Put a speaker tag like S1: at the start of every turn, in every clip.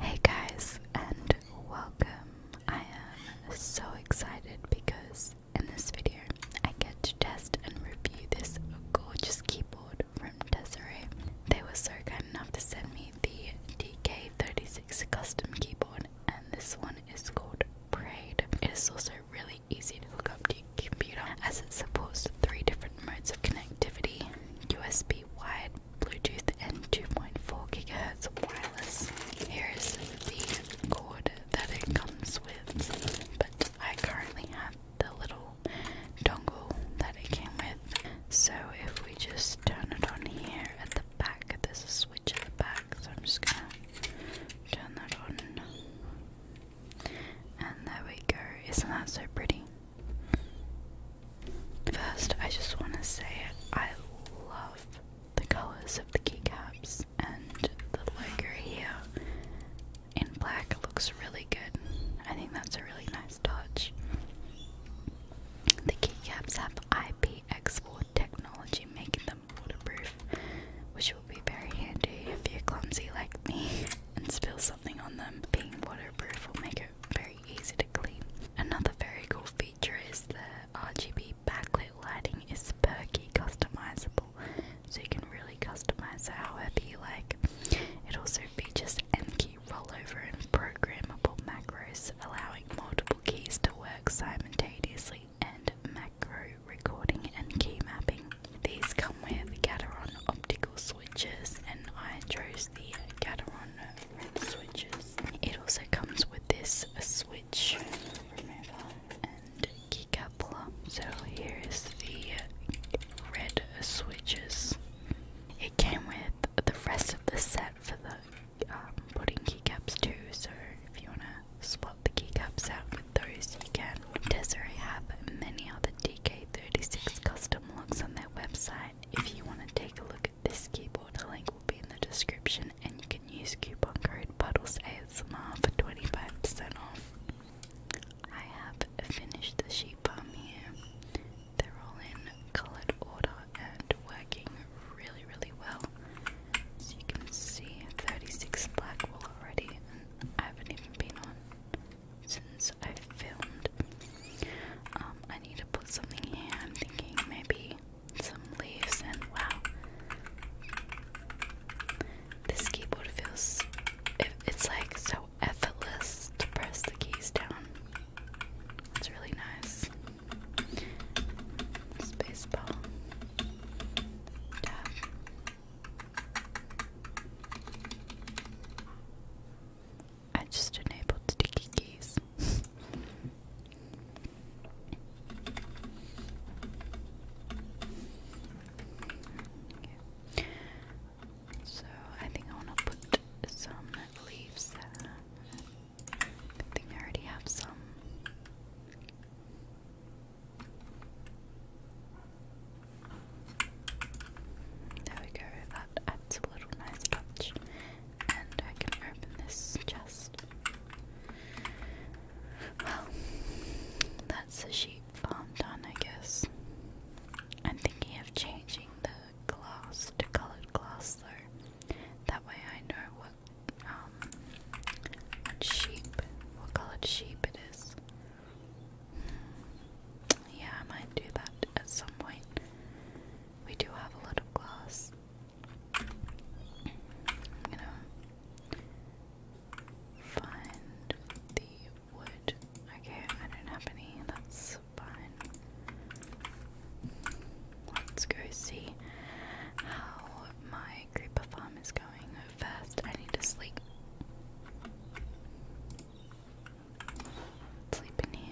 S1: Hey guys, and welcome. I am so excited because in this video I get to test and review this gorgeous keyboard from Desiree. They were so kind enough to send me the DK36 custom keyboard, and this one is called Braid. It is also really easy to hook up to your computer as it supports three different modes of connectivity USB wired, Bluetooth and 2.4 gigahertz wireless. Here is the cord that it comes with, but I currently have the little dongle that it came with. So if we just turn it on here at the back, there's a switch at the back, so I'm just gonna turn that on. And there we go. Isn't that so pretty? First, I just want to say I love the colors of the keycaps and the logo here in black looks really good. I think that's a really nice touch. The keycaps have IPX4 technology making them waterproof, which will be very handy if you're clumsy like me and spill something on them. Being waterproof will make it very easy to clean. Another very cool feature is the RGB backlit lighting is perky customizable, so you can really customize it however you like. It also features M-key rollover and programmable macros, allowing multiple keys to work simultaneously and macro recording and key mapping. These come with the Gateron optical switches and I chose the Gateron it also comes with this switch and key coupler. So here is the red switches. It came with the rest of the set for the um, putting keycaps too. So if you wanna swap the keycaps out with those, you can. Desiree have many other DK36 custom looks on their website if you want to take a look at this keyboard, the link will be in the description, and you can use coupon code BuddlesASMR for 25% off. I have finished the sheep farm here. They're all in coloured order and working really, really well. As you can see, 36 black wool already, and I haven't even been on since I filmed. Um, I need to put something here. I'm thinking maybe some leaves and wow. This keyboard feels it's like so effortless to press the keys down. It's really nice. Spacebar. Tab. I just enabled sticky keys. So I think I want to put some leaves. I think I already have some. There we go, that adds a little nice touch. And I can open this chest. Well, that's the sheep farm done, I guess. I'm thinking of changing the glass to coloured glass though. That way I know what um what sheep what coloured sheep it is. Yeah, I might do that at some point. We do have a lot of glass. I'm gonna find the wood. Okay, I don't have any, that's fine. Let's go see how my creeper farm is going. First, I need to sleep. Sleeping in here.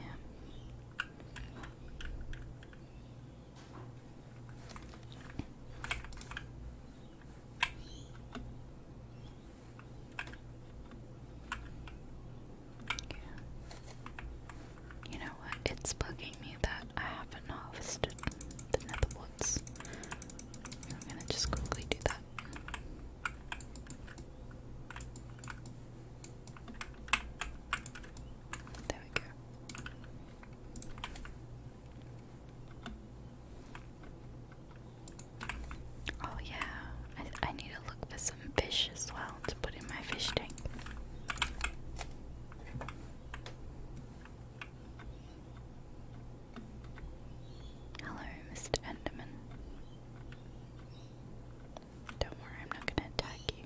S1: You know what? It's bugging me that I haven't harvested the nether I'm gonna just quickly do that. There we go. Oh yeah, I, I need to look for some fish as well to put in my fish tank. Hello, Mr. Enderman. Don't worry, I'm not gonna attack you.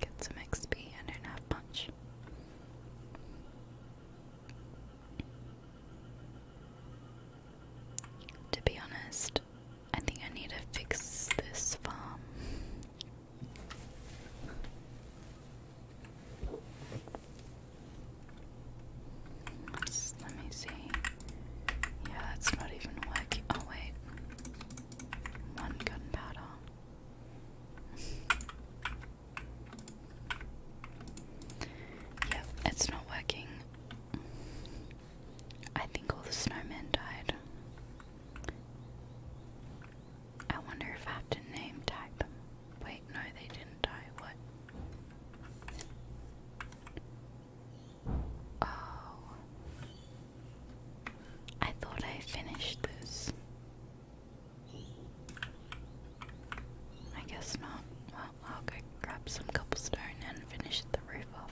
S1: Get some XP, I don't have to be honest, I think I need to fix this farm. let me see. Yeah, it's not even working. Oh, wait. One gunpowder. Yep, it's not working. I think all the snowmen died. I wonder if I have to name type. Wait, no, they didn't die. What? Oh. I thought I finished this. I guess not. I'll go grab some cobblestone and finish the roof off.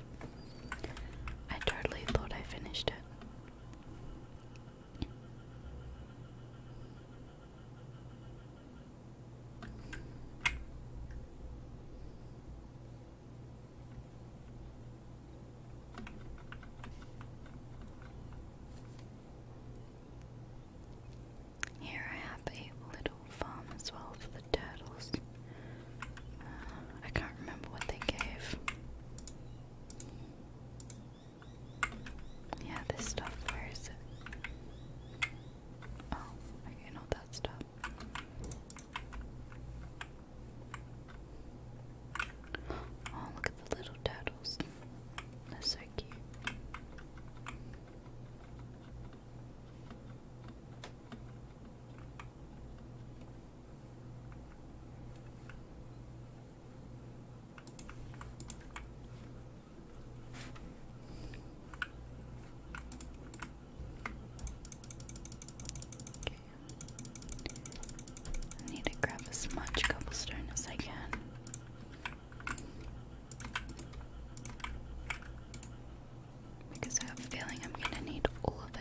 S1: I totally thought I finished it. Here I have a little farm as well for the turtles. Uh, I can't remember what they gave. Yeah, this stuff, where is it? Oh, okay, not that stuff. Oh, look at the little turtles. They're so cute. I need to grab as much cobblestone as I can because I have a feeling I'm gonna need all of it.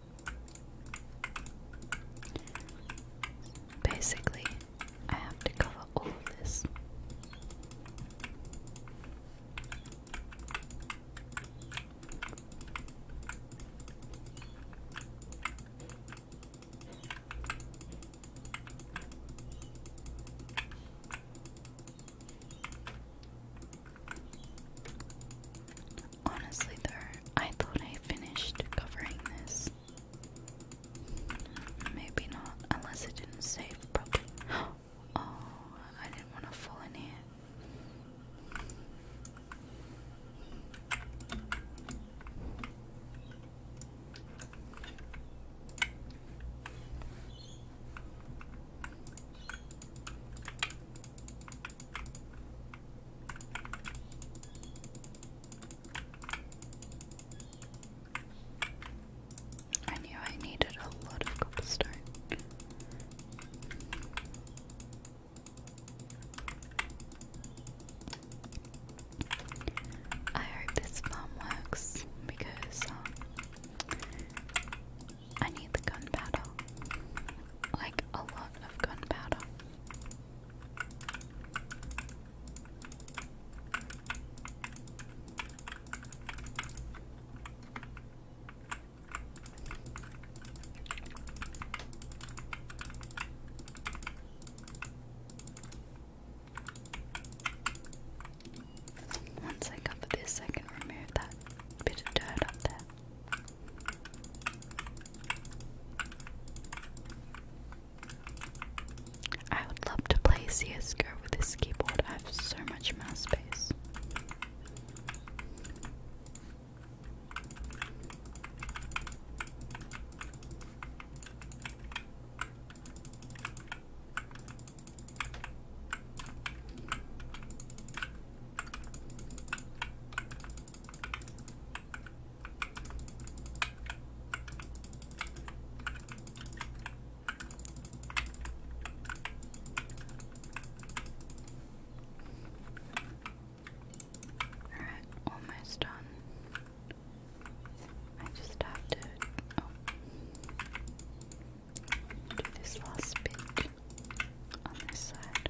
S1: Basically, I have to cover all of this. Honestly, though, I thought I finished covering this. Maybe not, unless it didn't save properly. Oh, I didn't want to fall in here. I knew I needed a lot of cobblestone. I hope this farm works because um, I need gunpowder. Like a lot of gunpowder. Once I cover this, I can remove that bit of dirt up there. I would love to play CSGO with this keyboard, I have so much mouse space. Alright, almost done. I just have to oh, do this last bit on this side.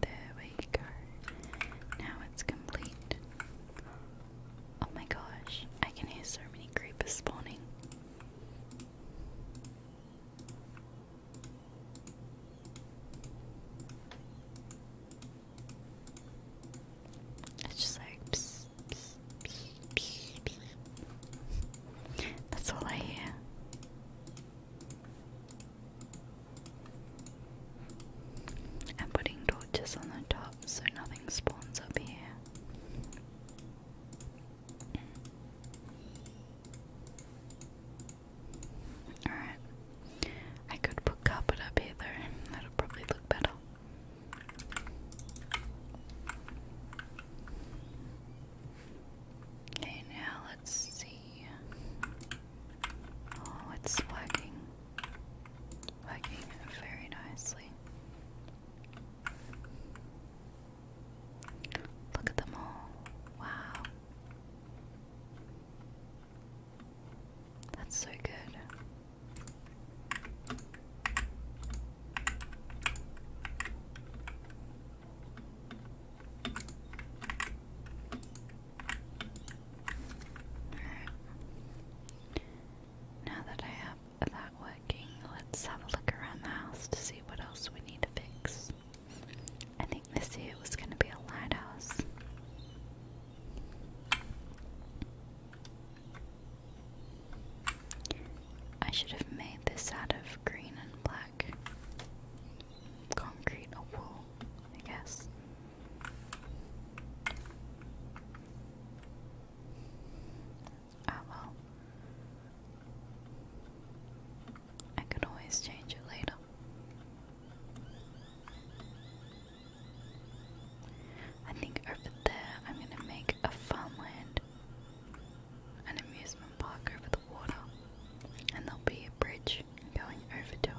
S1: There we go. Now it's complete. Oh my gosh, I can hear so many mini creep is spawning. It's just like That's all I hear. I'm putting torches on the top so nothing spawns up here. Alright. I could put carpet up here That'll probably look better. Okay, now let's see. Oh, it's working. Working very nicely. Look at them all. Wow. That's so good. Alright. Now that I have that working, let's have a look around the house to see what else we need to fix. I think this year was going to be a lighthouse. I should have made this out of green and black concrete wool, I guess. Ah oh, I could always change it later. I think over there I'm gonna make a farmland, an amusement park over the water, and there'll be a bridge going over to it.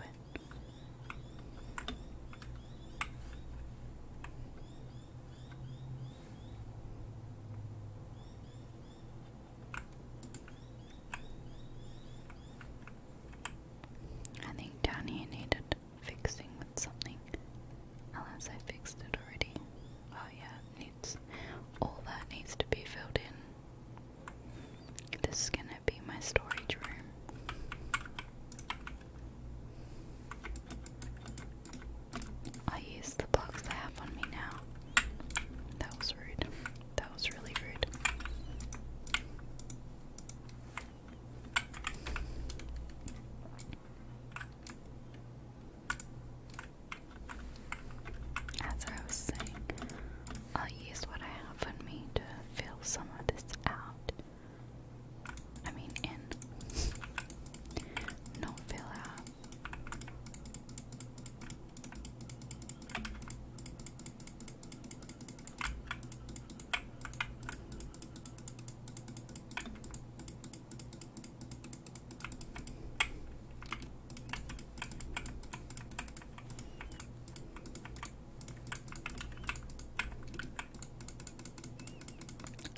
S1: I think down here needed fixing with something. Unless I fixed it already. Oh yeah, needs all that needs to be filled in. This is gonna be my storage room. I use the box I have on me now. That was rude. That was really rude. As I was saying, I'll use what I have on me to fill some of this out. I mean, in. No fill out.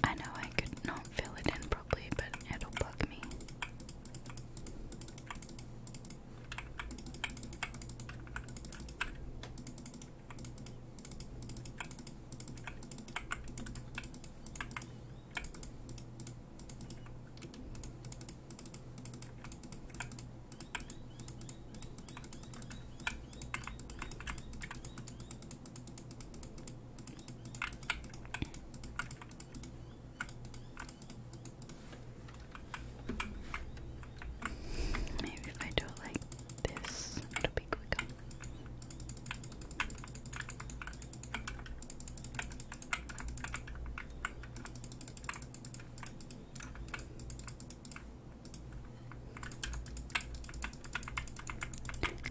S1: I know I could not fill it in properly, but it'll bug me. Maybe if I do like this, it'll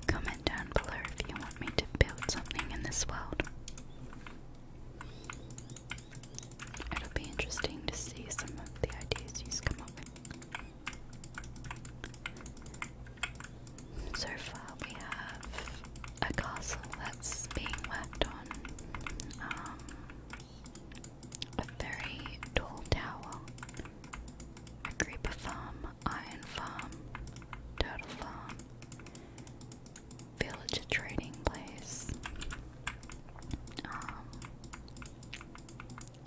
S1: Comment down below if you want me to build something in this world. It'll be interesting to see some of the ideas you come up with. So far, we have a castle that's being worked on. Um, a very tall tower, a creeper farm, iron farm, turtle farm, villager trading place. Um,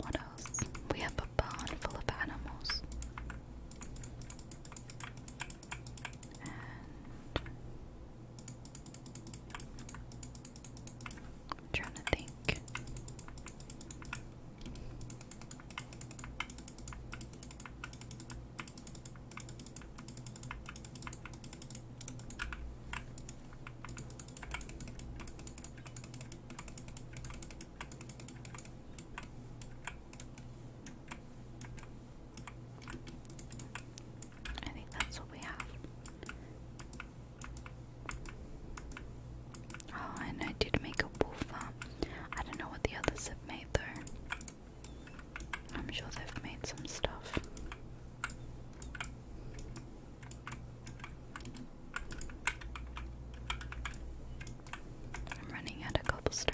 S1: what else? We have a barn full of animals. I'm trying to think. I think that's what we have. Oh, and I did make a woofer. Um, I don't know what the others have made though. I'm sure they've made some stuff. I'm running out of cobblestone.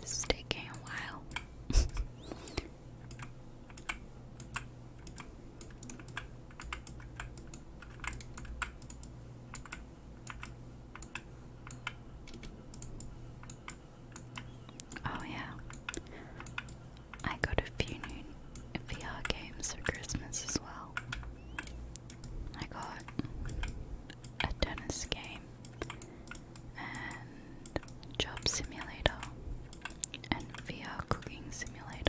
S1: This is taking a while. Oh yeah. I got a few new VR games for Christmas as well. I got a tennis game and job simulator and VR cooking simulator.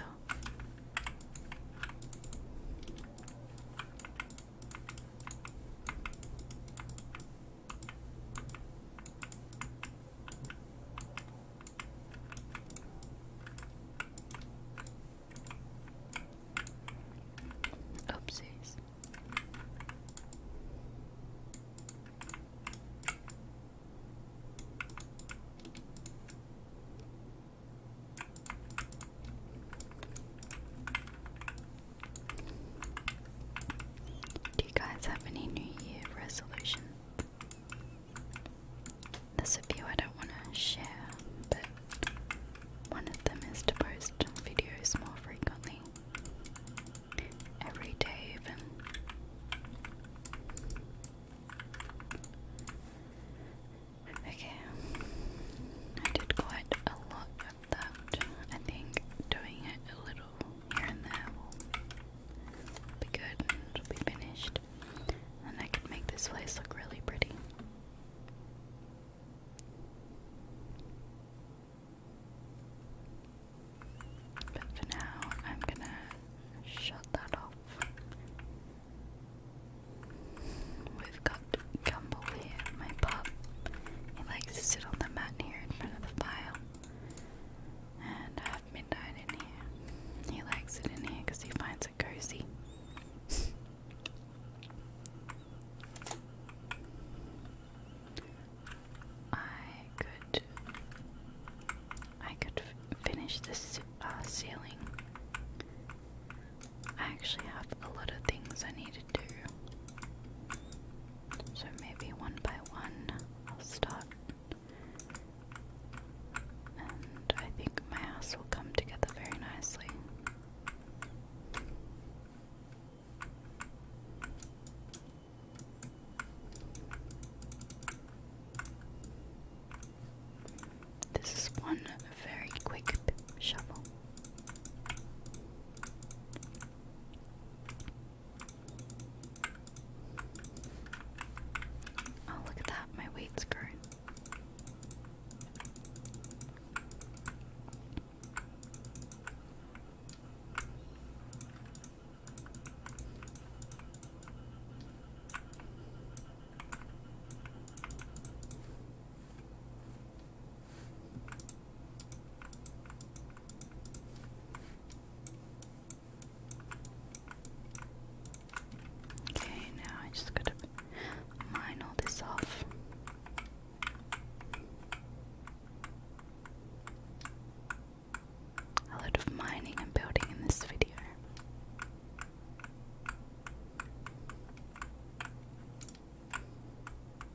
S1: Oopsies. Do you guys have any New Year resolutions? There's a few I don't want to share, but one of them is to post videos more frequently. Every day, even. Okay, I did quite a lot of that. I think doing it a little here and there will be good and will be finished. And I can make this place look really pretty. But for now, I'm gonna shut that off. We've got Gumball here, my pup. He likes to sit on the mat here in front of the fire. And have uh, Midnight in here. He likes it in here because he finds it cozy. I could, I could finish the uh, ceiling. I actually have a lot of things I need to do. So maybe one by one I'll start. And I think my house will come together very nicely. This is one very quick shovel. Oh, look at that, my weight's growing. Okay, now I just gotta mine all this off. A lot of mining and building in this video.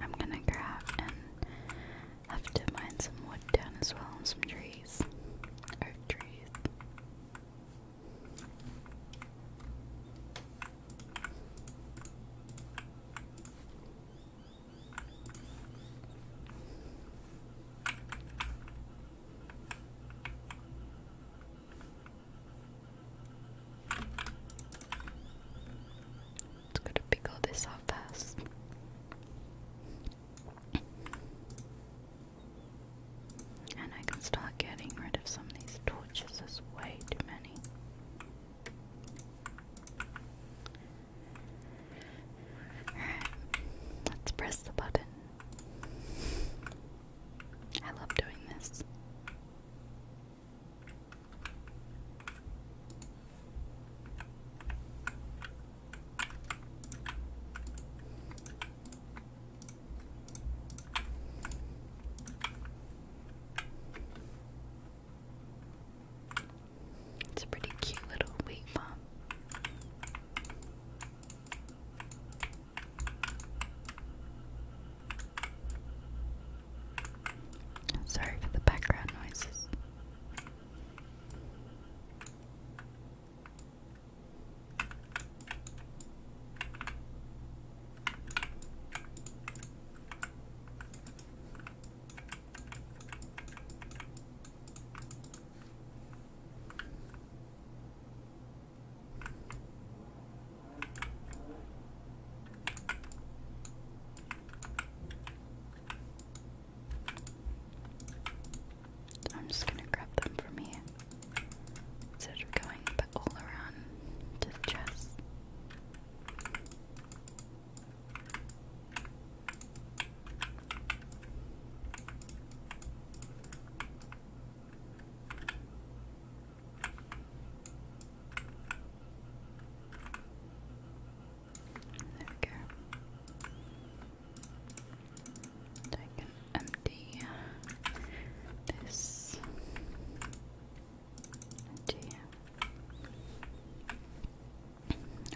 S1: I'm gonna grab and have to mine some wood down as well and some trees. Or trees. Let's go to pick all this off fast. And I can start getting rid of some of these torches, there's way too many. Alright, let's press the button. I love doing this. It's a pretty cute little weight bomb. Sorry for the background noises. I'm just gonna grab them from here instead of going all around to the chest. There we go. And I can empty this into here.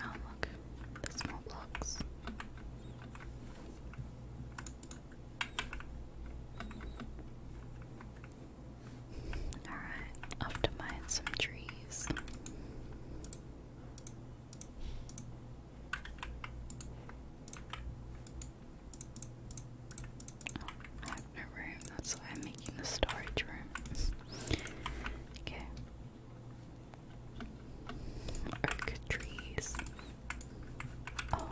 S1: Oh, look, the small blocks. Alright, off to mine some trees. Oh, I have no room, that's why I'm making the storage room. okay. trees. Oh,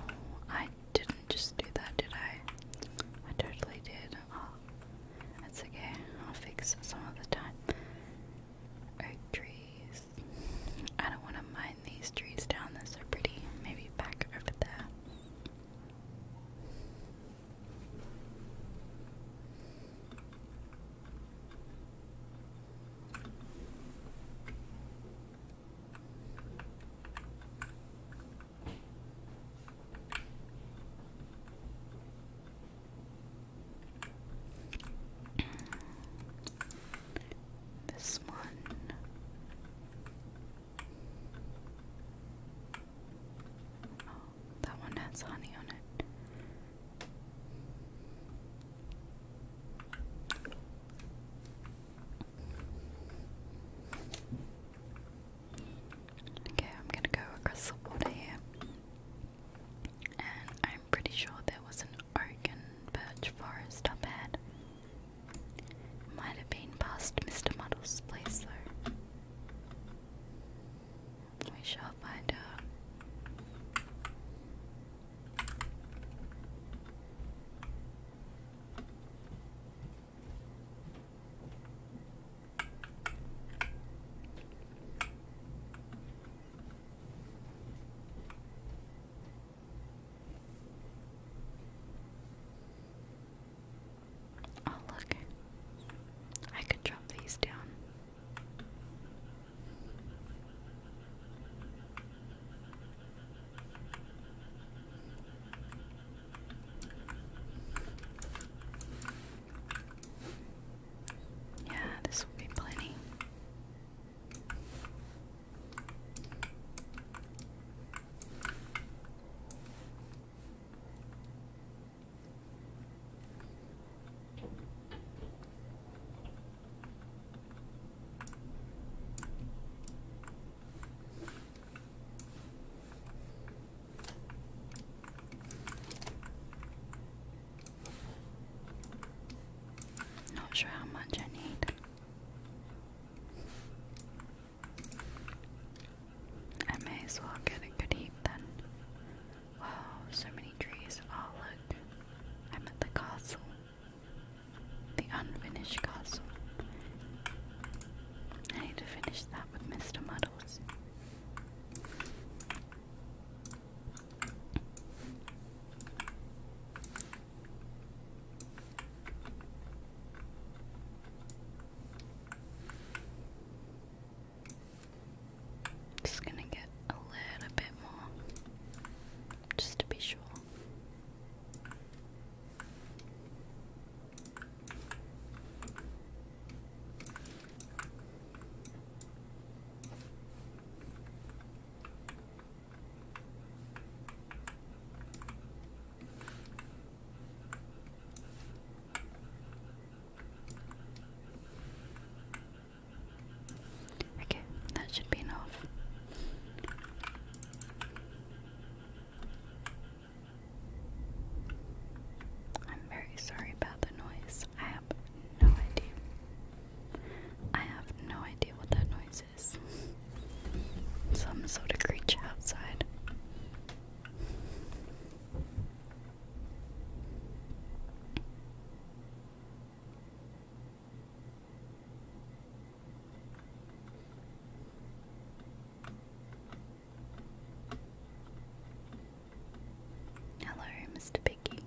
S1: I I didn't just do that, did I? I totally did. Oh, that's okay. I'll fix some other time. trees. I don't want to mind these trees down. They're pretty. Maybe back over there. This one. Oh, that one has honey on it. Okay, I'm gonna go across the water here. And I'm pretty sure there was an oak and birch forest up ahead. Might have been past Mr. Muddle's place though. We shall find out. Oh, look, I could drop these down. Yeah, this will be plenty. Not sure how much I need. I may as well get a good heap then. Wow, so many trees. Oh, look. I'm at the castle. The unfinished castle. I need to finish that with Mr. Muddles. Just gonna get a little bit more just to be sure. Okay, that should be enough. I'm very sorry about the noise. I have no idea. I have no idea what that noise is. Some sort of creature outside. Hello, Mr. Piggy.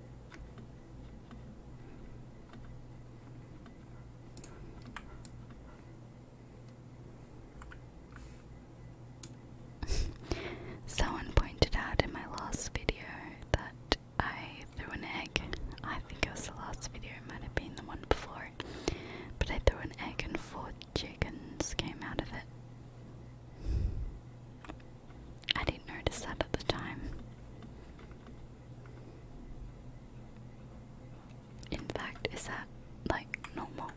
S1: Someone pointed out in my last video that I threw an egg. I think it was the last video, it might have been the one before. But I threw an egg and four chickens came out of it. I didn't notice that at the time. In fact, is that like normal?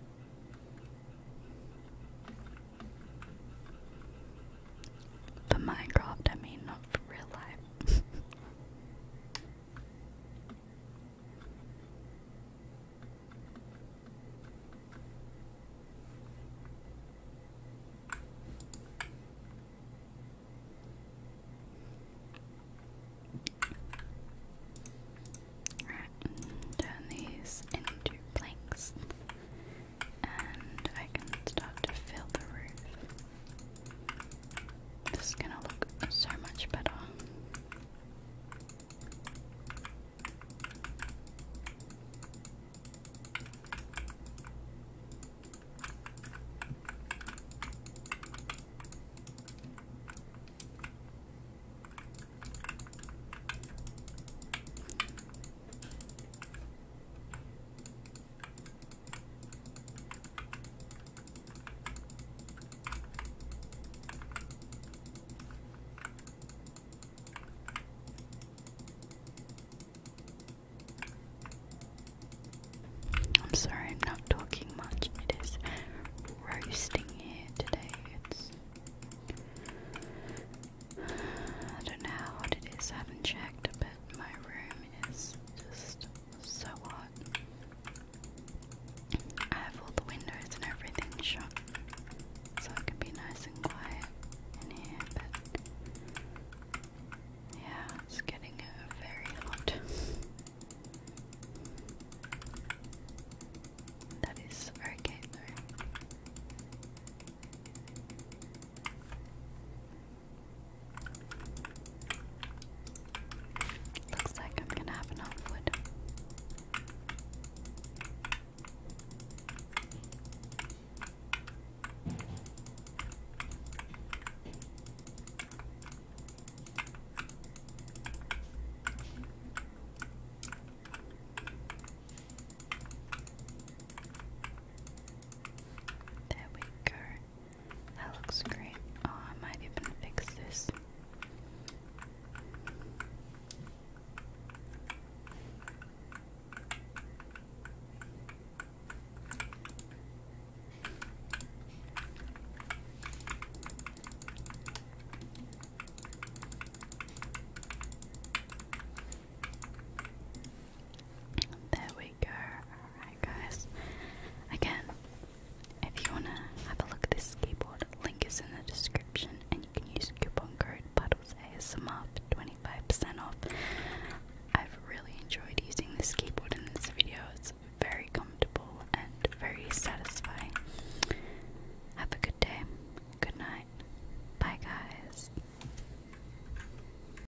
S1: For Minecraft, I mean, not for real life. Right, turn these into planks, and I can start to fill the roof. This is gonna look so much better. I'm sorry, I'm not talking much. It is roasting here today. It's I don't know how hot it is. I haven't checked, but my room is just so what? I have all the windows and everything shut, so it can be nice and quiet in here, but yeah, it's getting uh, very hot. That is okay though. Looks like I'm gonna have enough wood. There we go. That looks great. Oh, I might even fix this. There we go. Alright, guys. Again, if you want to have a look at this keyboard, link is in the description, and you can use coupon code BuddlesASMR 25% off. I've really enjoyed using this keyboard in this video. It's very comfortable and very satisfying. Have a good day, good night. Bye, guys.